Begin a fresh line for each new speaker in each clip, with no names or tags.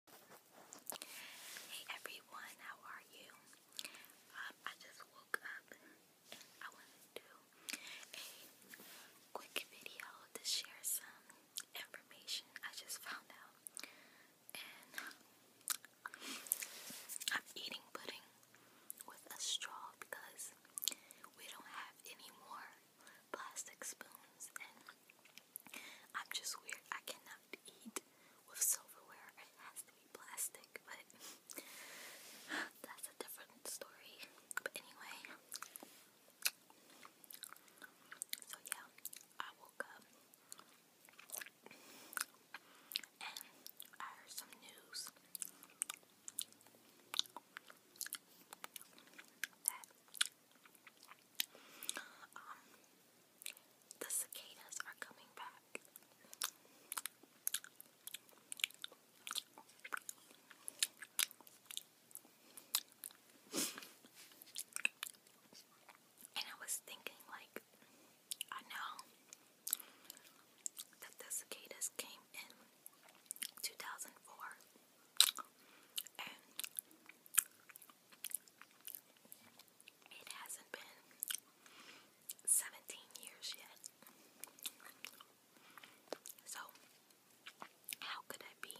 Hey everyone, how are you? Um, I just woke up I want to do a quick video to share some information I just found out. I'm eating pudding with a straw because we don't have any more plastic spoons, and I'm just weird. I cannot eat with silverware. It has to be plastic, but that's a different story. But anyway, so yeah, I woke up and I heard some news that um, the cicadas are coming back. And I was thinking, like, I know that the cicadas came in 2004, and it hasn't been 17 years yet. So, how could I be?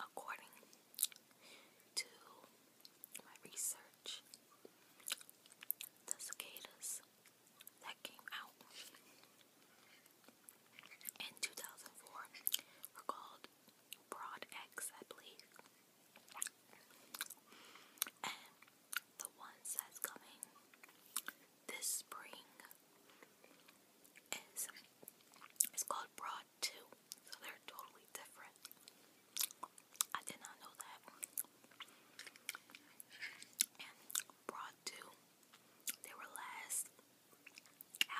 According to my research, the cicadas that came out in 2004 were called Broad X, I believe. And the ones that's coming this spring is it's called Broad 2. So they're totally different. I did not know that. And Broad 2, they were last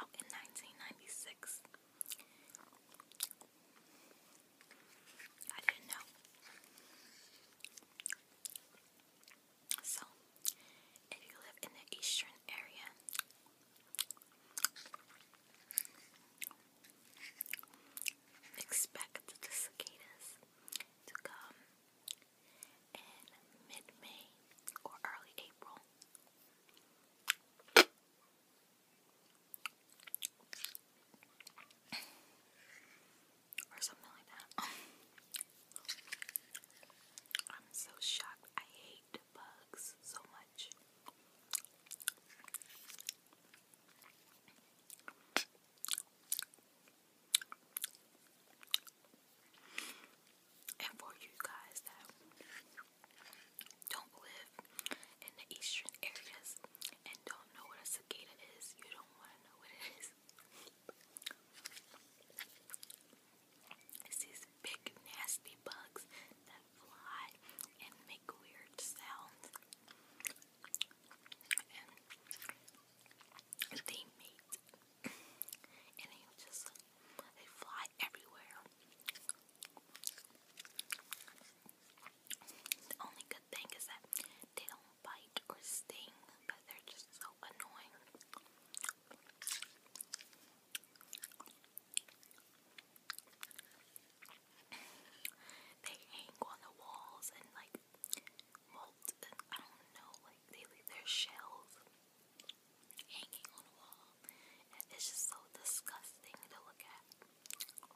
out in 1996. I didn't know. So, if you live in the eastern area, expect the cicadas to come in mid May or early April or something like that. I'm so shocked. I hate bugs so much. And for you guys that don't live in the eastern areas and don't know what a cicada is, you don't want to know what it is. It's these big nasty bugs that fly and make weird sounds. And they mate. and they just they fly everywhere. The only good thing is that they don't bite or sting, but they're just so annoying. they hang on the walls and like molt I don't know, like they leave their shells hanging on the wall. And it's just so disgusting to look at.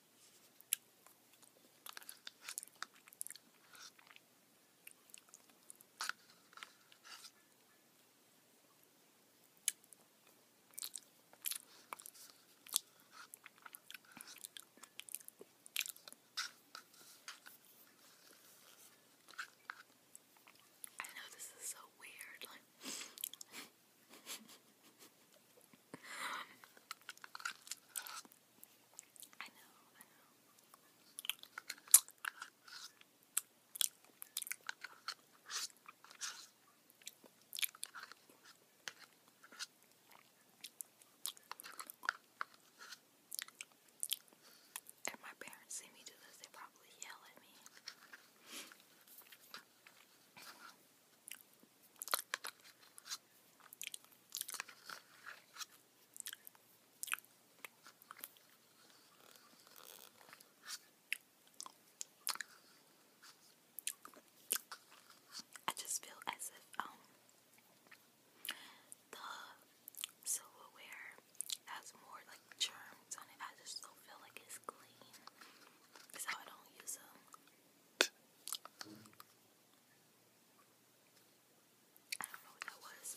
I know this is so weird, like I know, I know. If my parents see me do this, they probably yell at me. I just feel as if um the silverware has more like germs on it. I just don't feel like it's clean. That's how I don't use them. I don't know what that was.